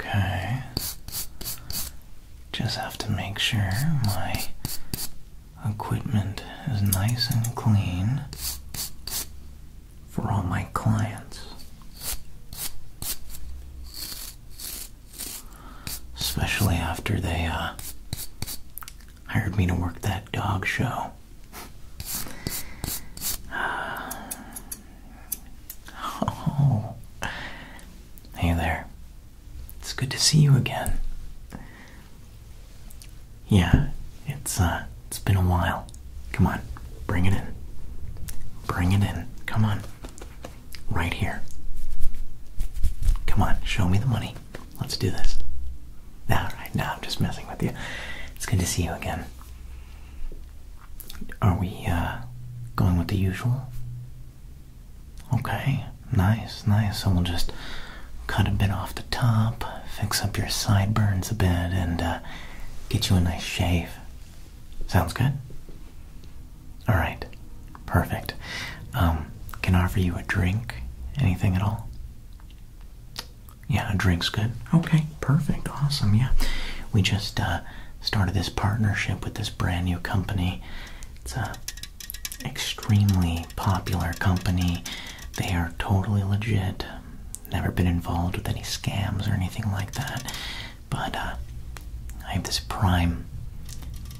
Okay. Just have to make sure my equipment is nice and clean for all my clients. Especially after they uh, hired me to work that dog show. Oh. Hey there. It's good to see you again. Yeah, it's uh it's been a while. Come on. Bring it in. Bring it in. Come on. Right here. Come on, show me the money. Let's do this. Alright, now I'm just messing with you. It's good to see you again. Are we uh, going with the usual? Okay, nice, nice. So we'll just cut a bit off the top, fix up your sideburns a bit, and uh, get you a nice shave. Sounds good? Alright, Perfect. Um, can I offer you a drink? Anything at all? Yeah, a drink's good. Okay, perfect. Awesome. Yeah. We just uh, started this partnership with this brand new company. It's a extremely popular company. They are totally legit. Never been involved with any scams or anything like that. But uh, I have this prime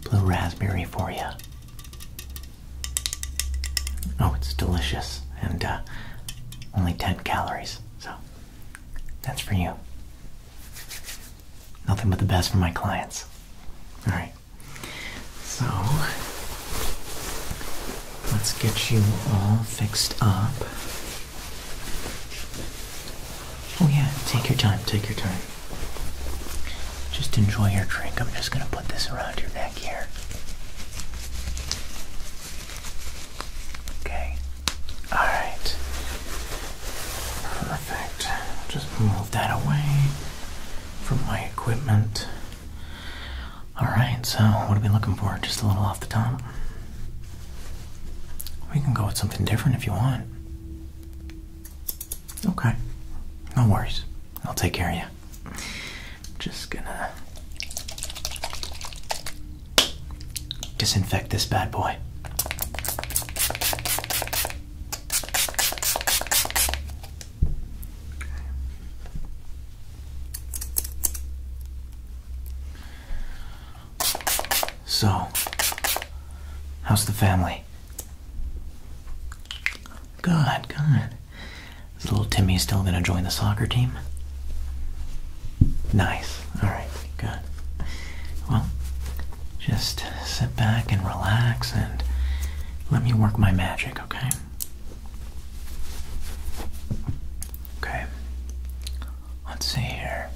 blue raspberry for you. Oh, it's delicious and uh, only 10 calories, so that's for you. Nothing but the best for my clients. All right, so let's get you all fixed up. Oh, yeah, take your time, take your time. Just enjoy your drink. I'm just going to put this around your neck here. Okay. All right. Perfect. Just move that away from my equipment. All right. So, what are we looking for? Just a little off the top. We can go with something different if you want. Okay. No worries. I'll take care of you. Just gonna disinfect this bad boy. So, how's the family? Good, God, Is little Timmy still gonna join the soccer team? Nice. Alright, good. Well, just sit back and relax and let me work my magic, okay? Okay. Let's see here.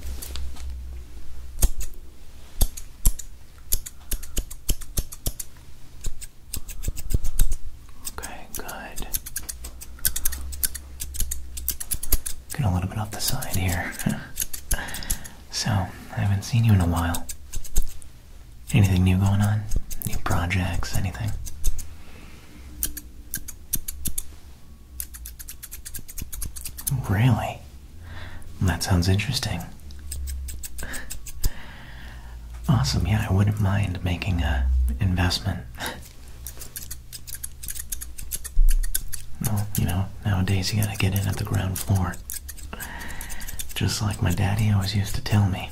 Okay, good. Get a little bit off the side here. so, I haven't seen you in a while. Anything new going on? New projects? Anything? Really? That sounds interesting. Awesome, yeah, I wouldn't mind making a investment. well, you know, nowadays you gotta get in at the ground floor. Just like my daddy always used to tell me.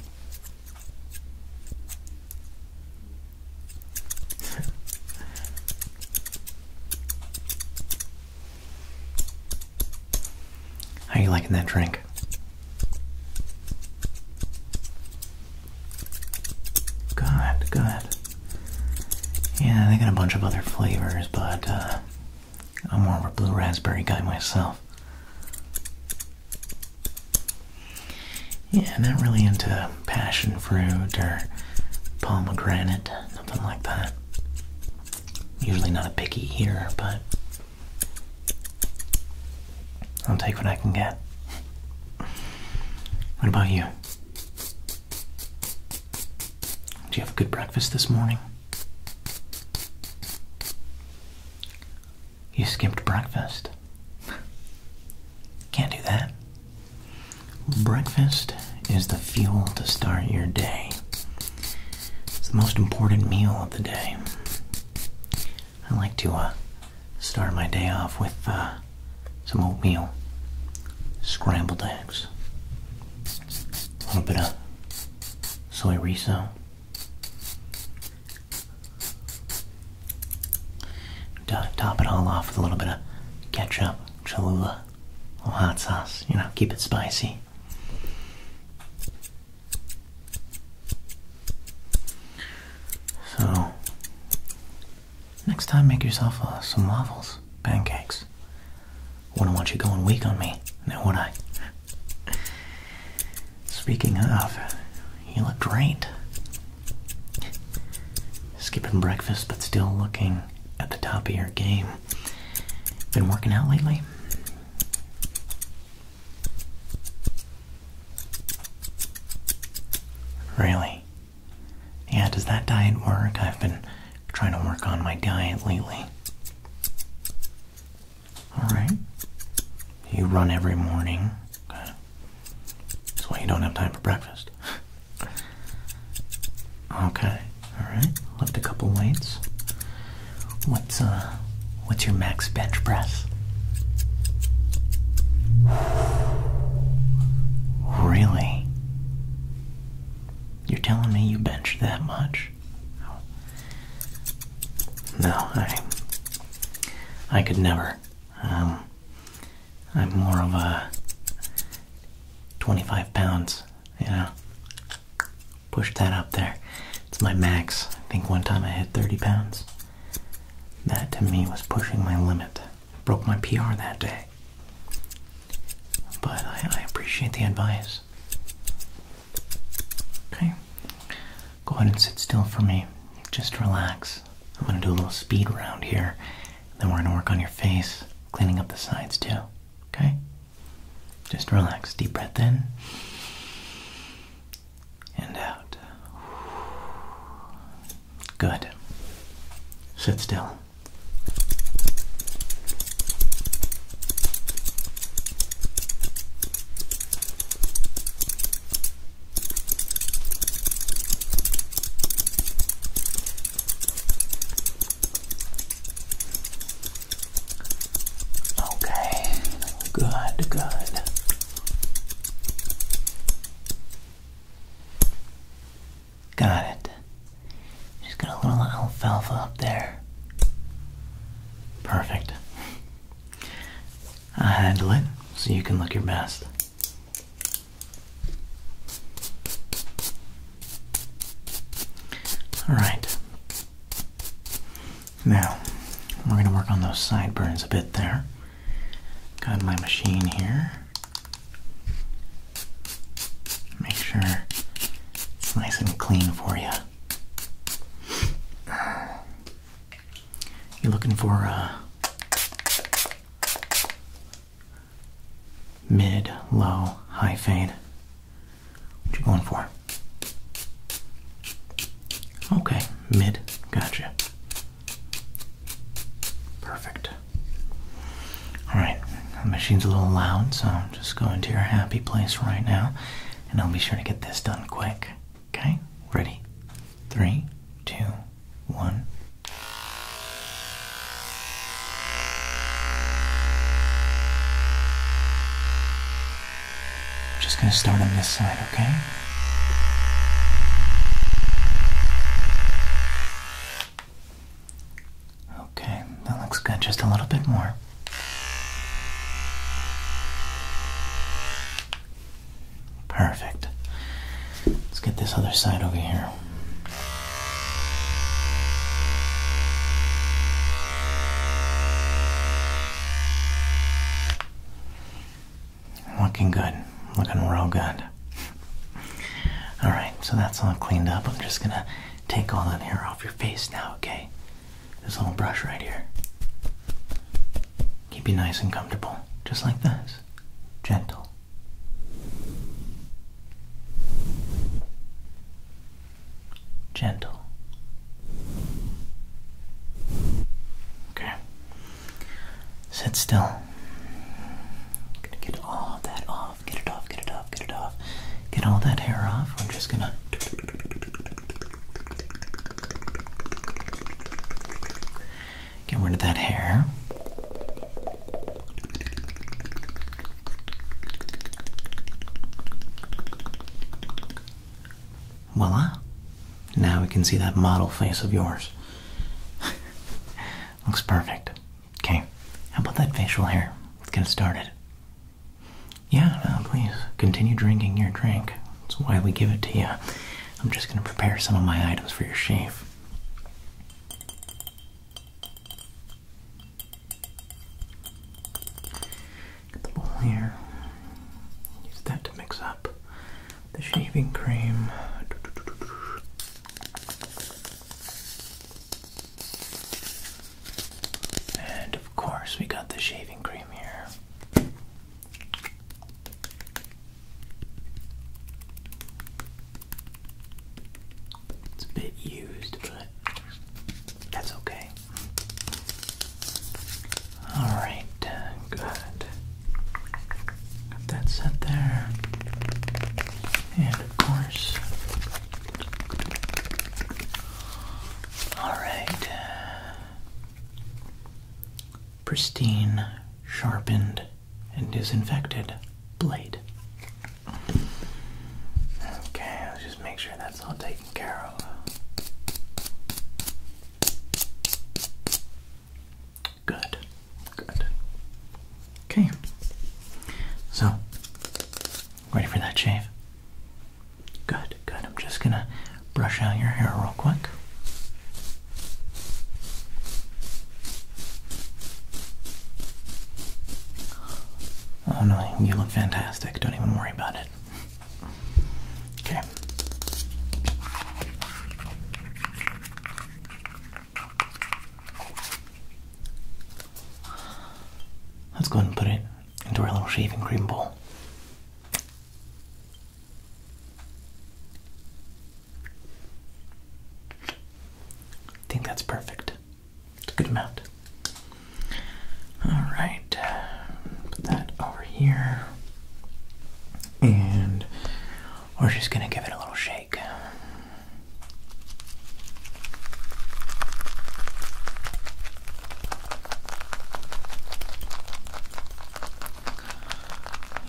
How you liking that drink? Good, good. Yeah, they got a bunch of other flavors, but uh, I'm more of a blue raspberry guy myself. Yeah, not really into passion fruit or pomegranate, nothing like that. Usually not a picky here, but I'll take what I can get. What about you? Do you have a good breakfast this morning? You skipped breakfast. Can't do that. Breakfast is the fuel to start your day. It's the most important meal of the day. I like to uh, start my day off with uh, some oatmeal, scrambled eggs, a little bit of soy riso. top it all off with a little bit of ketchup, Cholula, or hot sauce. You know, keep it spicy. So, next time make yourself uh, some waffles, pancakes. Wouldn't want you going weak on me, now would I? Speaking of, you look drained. Skipping breakfast but still looking at the top of your game. Been working out lately? Really? Yeah, does that diet work? I've been trying to work on my diet lately. Alright. You run every morning. That's why you don't have time for breakfast. okay. Alright, left a couple weights. What's uh what's your max bench press? Really? You're telling me you bench that much? No, I I could never. Um I'm more of a 25 pounds, you know push that up there. It's my max. I think one time I hit 30 pounds. That to me was pushing my limit. Broke my PR that day. But I, appreciate the advice. Okay. Go ahead and sit still for me. Just relax. I'm going to do a little speed round here. Then we're going to work on your face, cleaning up the sides too. Okay? Just relax. Deep breath in and out. Good. Sit still. Okay, good, good. Got it. Just got a little alfalfa up there. Perfect. I will handle it so you can look your best. All right. Now, we're going to work on those sideburns a bit there. Got my machine here. Make sure it's nice and clean for you. You looking for a uh, mid, low, high fade? What you going for? Okay, mid. Gotcha. Perfect. Alright, the machine's a little loud, so I'm just going to your happy place right now, and I'll be sure to get this done quick. Okay? Ready? Three, two, one. I'm just going to start on this side, okay? Okay, that looks good. Just a little bit more. Perfect. Let's get this other side over here. Looking good. Looking real good. Alright, so that's all cleaned up. I'm just gonna take all that hair off your face now, okay? This little brush right here. Keep you nice and comfortable, just like this. Gentle gentle. Okay. Sit still. get all that off. Get it off, get it off, get it off. Get all that hair off. I'm just gonna. Get rid of that hair. Voila! Now we can see that model face of yours. Looks perfect. Okay, how about that facial hair? Let's get started. Yeah, please continue drinking your drink. That's why we give it to you. I'm just going to prepare some of my items for your shave. Get the bowl here. Use that to mix up the shaving cream. And of course, we got the shaving cream here. It's a bit used, but that's okay. Alright, uh, good. Got that set there. And of course. Alright. Uh, pristine, sharpened, and disinfected blade. Okay, just make sure that's all taken care of. Good, good. Okay. So, ready for that shave? Good, good. I'm just gonna brush out your hair real quick. Oh no, you look fantastic. Don't even worry about it. Okay. Let's go ahead and put it into our little shaving cream bowl. I think that's perfect. It's a good amount. All right, put that over here, and we're just going to give it a little shake.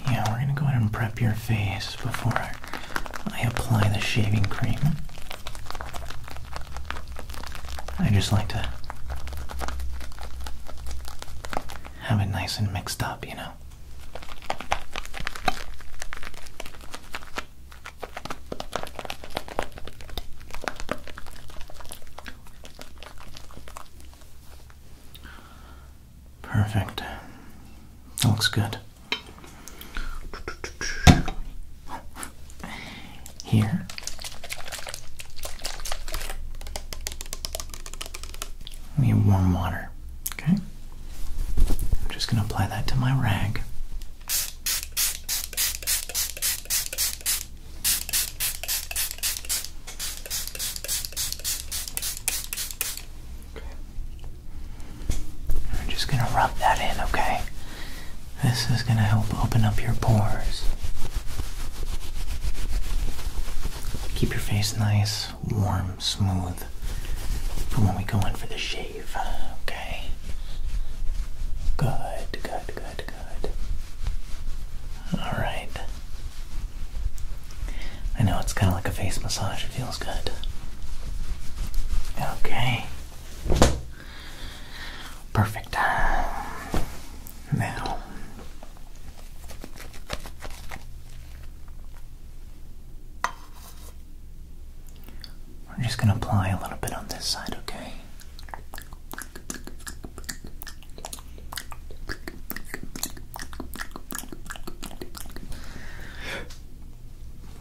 Yeah, we're going to go ahead and prep your face before I apply the shaving cream. I just like to have it nice and mixed up, you know. Perfect. looks good. Here. We have warm water. Okay? I'm just going to apply that to my rag. Okay. I'm just going to rub that in, okay? This is going to help open up your pores. Keep your face nice, warm, smooth for when we go in for the shave, okay? Good, good, good, good. Alright. I know it's kind of like a face massage, it feels good. Okay. Perfect. Now, we're just going to apply a little bit on this side, okay?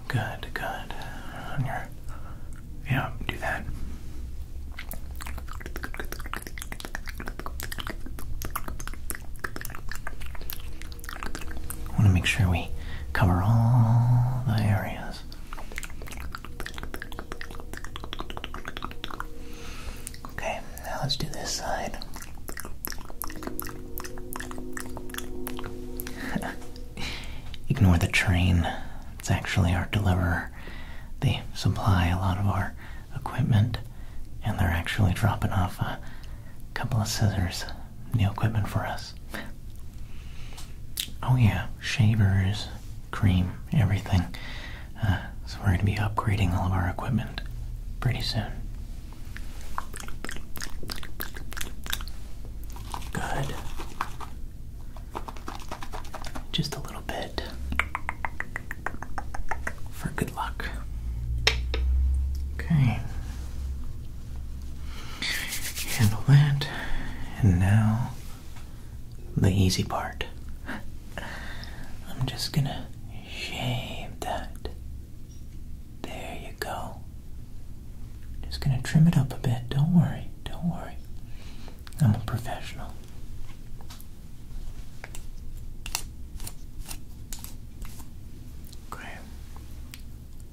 Good, good. On your you know, do that. I want to make sure we cover all the areas. Okay, now let's do this side. Ignore the train. It's actually our deliverer they supply a lot of our equipment and they're actually dropping off a couple of scissors, new equipment for us. Oh, yeah, shavers, cream, everything. Uh, so, we're going to be upgrading all of our equipment pretty soon. Good. Just a little bit for good luck. Okay. Handle that. And now the easy part. I'm just gonna shave that. There you go. Just gonna trim it up a bit. Don't worry. Don't worry. I'm a professional. Great.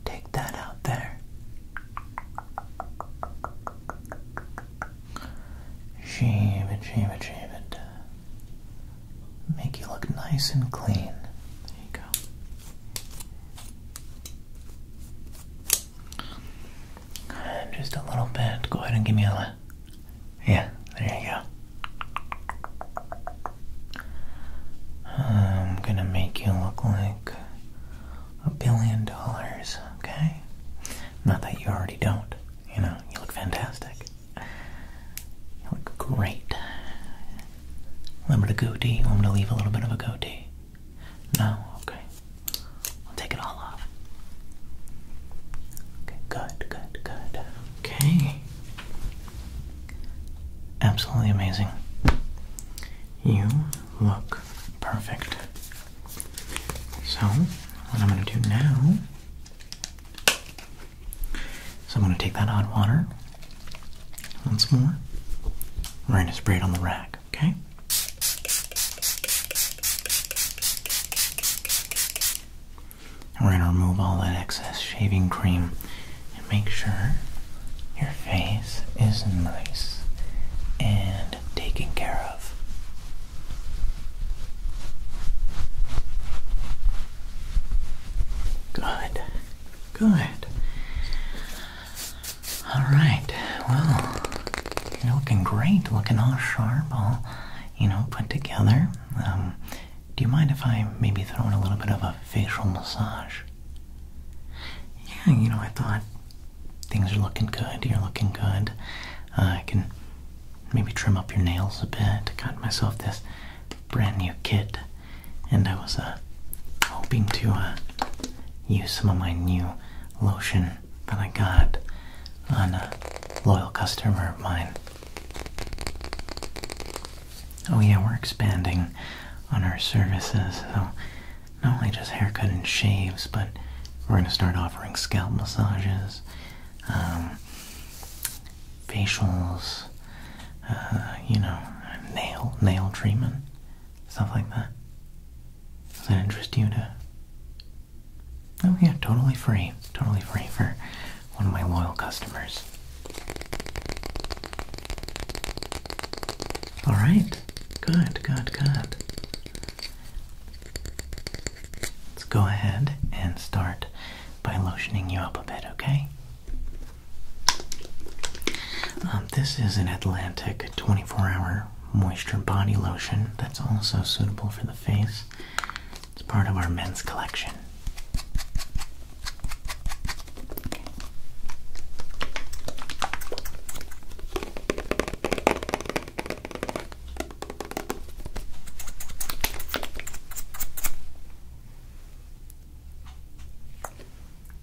Take that out there. Shave it, shave it, shave it. Make you look nice and clean. There you go. Just a little bit. Go ahead and give me a. Yeah, there you go. I'm gonna make you look like a billion dollars, okay? Not that you already don't, you know, you look fantastic. You look great. A little bit of goatee, i want gonna leave a little bit of a goatee. No? Okay. I'll take it all off. Okay, good, good, good. Okay. Absolutely amazing. You look perfect. So, what I'm going to do now is I'm going to take that hot water once more. We're going to spray it on the rack. Okay. we're going to remove all that excess shaving cream and make sure your face is nice and taken care of. Good. Good. All right. Well, you're looking great. Looking all sharp, all you know, put together. Um, do you mind if I maybe throw in a little bit of a facial massage? Yeah, you know, I thought things are looking good. You're looking good. Uh, I can maybe trim up your nails a bit. I got myself this brand new kit, and I was uh, hoping to uh, use some of my new lotion coupon I got a loyal customer of mine. Oh, yeah, we're expanding on our services, so not only just haircuts and shaves, but we're going to start offering scalp massages, um, facials, uh, you know, nail nail treatment, stuff like that. Does that interest you to Oh, yeah, totally free. Totally free for one of my loyal customers. All right. Good, good, good. Let's go ahead and start by lotioning you up a bit, okay? Um, this is an Atlantic 24 hour moisture body lotion that's also suitable for the face. It's part of our men's collection.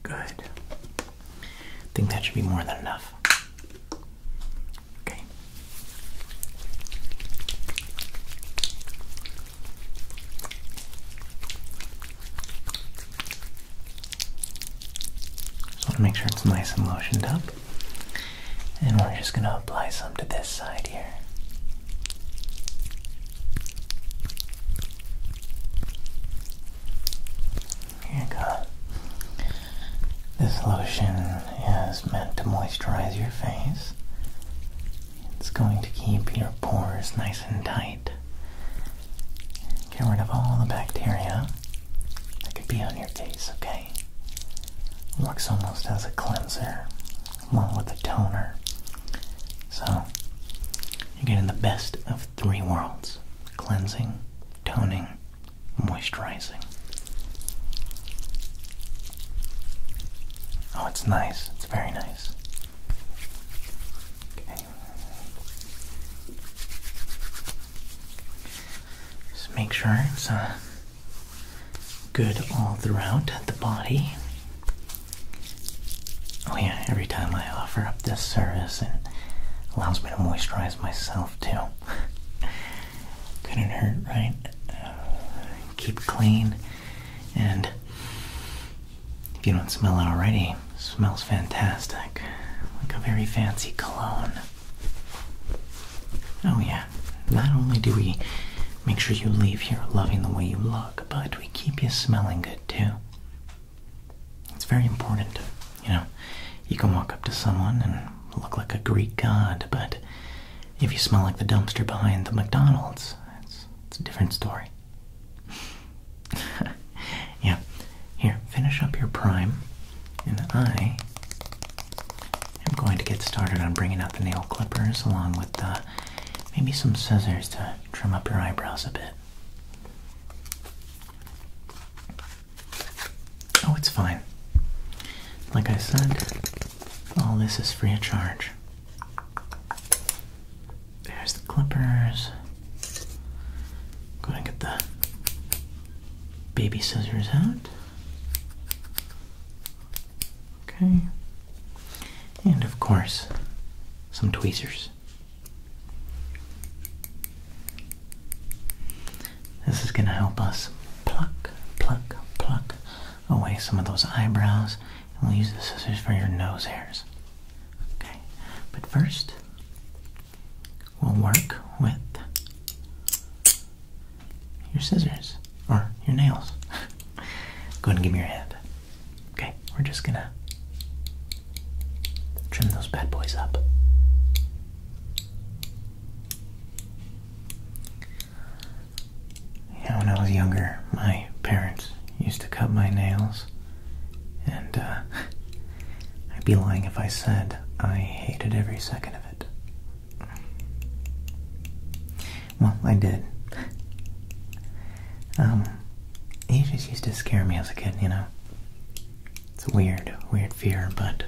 Good. I think that should be more than enough. Just want to make sure it's nice and lotioned up. And we're just going to apply some to this side here. Here you go. This lotion is meant to moisturize your face. It's going to keep your pores nice and tight. Get rid of all the bacteria that could be on your face, okay? Works almost as a cleanser along with a toner. So, you're getting the best of three worlds cleansing, toning, moisturizing. Oh, it's nice. It's very nice. Okay. Just make sure it's uh, good all throughout the body. Oh, yeah, every time I offer up this service, it allows me to moisturize myself too. Couldn't hurt, right? keep clean. And if you don't smell it already, smells fantastic. Like a very fancy cologne. Oh, yeah. Not only do we make sure you leave here loving the way you look, but we keep you smelling good too. It's very important. You know, you can walk up to someone and look like a Greek god, but if you smell like the dumpster behind the McDonald's, it's, a different story. yeah. Here, finish up your prime, and I am going to get started on bringing out the nail clippers along with uh, maybe some scissors to trim up your eyebrows a bit. Oh, it's fine. Like I said, all this is free of charge. There's the clippers. Go ahead get the baby scissors out. Okay. And of course, some tweezers. This is going to help us pluck, pluck, pluck away some of those eyebrows. And we'll use the scissors for your nose hairs. Okay, but first we'll work with your scissors or your nails. Go ahead and give me your hand. Okay, we're just gonna trim those bad boys up. Yeah, when I was younger, my parents used to cut my nails, and uh, I'd be lying if I said I hated every second of it. Well, I did. Um, he just used to scare me as a kid, you know. It's a weird, weird fear, but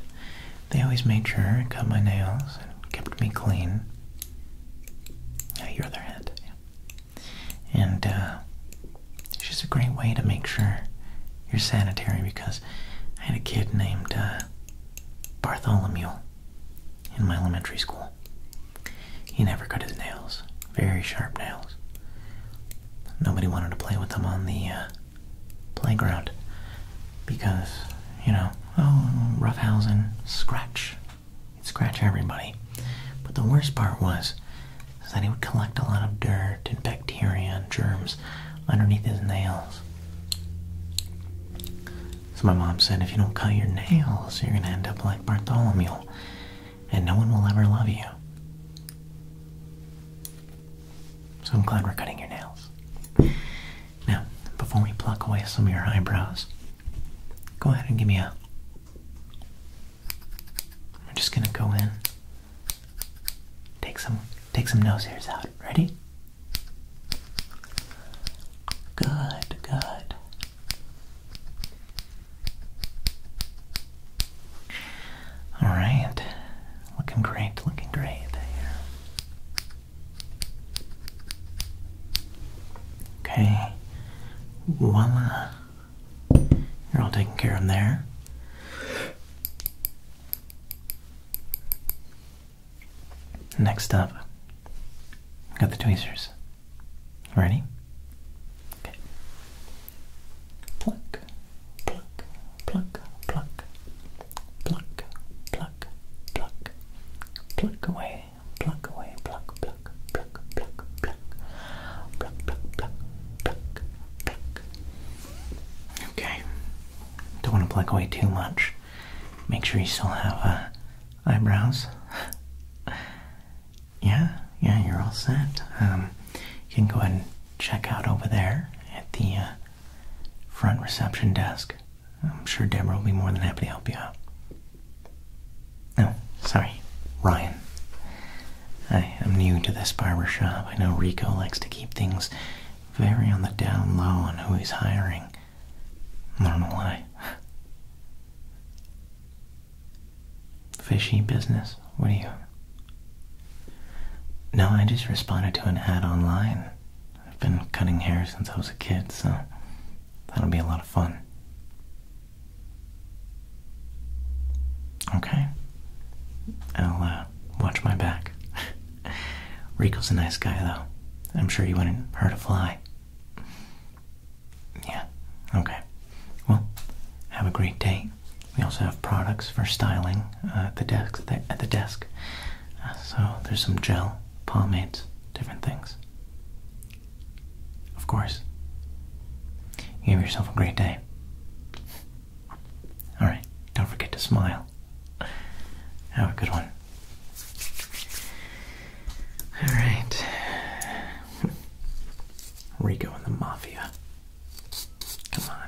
they always made sure I cut my nails and kept me clean. Yeah, your other hand. And uh, it's just a great way to make sure you're sanitary because I had a kid named uh, Bartholomew in my elementary school. He never cut his nails, very sharp nails. Nobody wanted to play with them on the uh, playground because, you know, oh, roughhousing, scratch. scratch everybody. But the worst part was is that he would collect a lot of dirt and bacteria and germs underneath his nails. So my mom said, if you don't cut your nails, you're going to end up like Bartholomew and no one will ever love you. So I'm glad we're cutting your nails. Now, before we pluck away some of your eyebrows, go ahead and give me a. I'm just gonna go in, take some take some nose hairs out. Ready? Good, good. All right. Looking great, looking great there. Okay, voila. You're all taking care of them there. Next up, got the tweezers. Ready? Okay. Pluck, pluck, pluck, pluck, pluck, pluck, pluck, pluck away, pluck away, pluck, pluck, pluck, pluck, pluck, pluck, pluck, pluck, pluck, pluck. Okay. Don't want to pluck away too much. Make sure you still have uh, eyebrows. yeah, yeah, you're all set. Um, you can go ahead and check out over there at the uh, front reception desk. I'm sure Deborah will be more than happy to help you out. No, oh, sorry, Ryan. I am new to this barber shop. I know Rico likes to keep things very on the down low on who he's hiring. I don't know why. Fishy business? What do you no, I just responded to an ad online. I've been cutting hair since I was a kid, so that'll be a lot of fun. Okay. I'll uh, watch my back. Rico's a nice guy, though. I'm sure he wouldn't hurt a fly. Yeah, okay. Well, have a great day. We also have products for styling uh, at the desk. At the desk so there's some gel, pomades, different things. Of course. Give yourself a great day. Alright, don't forget to smile. Have a good one. Alright. Rico and the Mafia. Come on.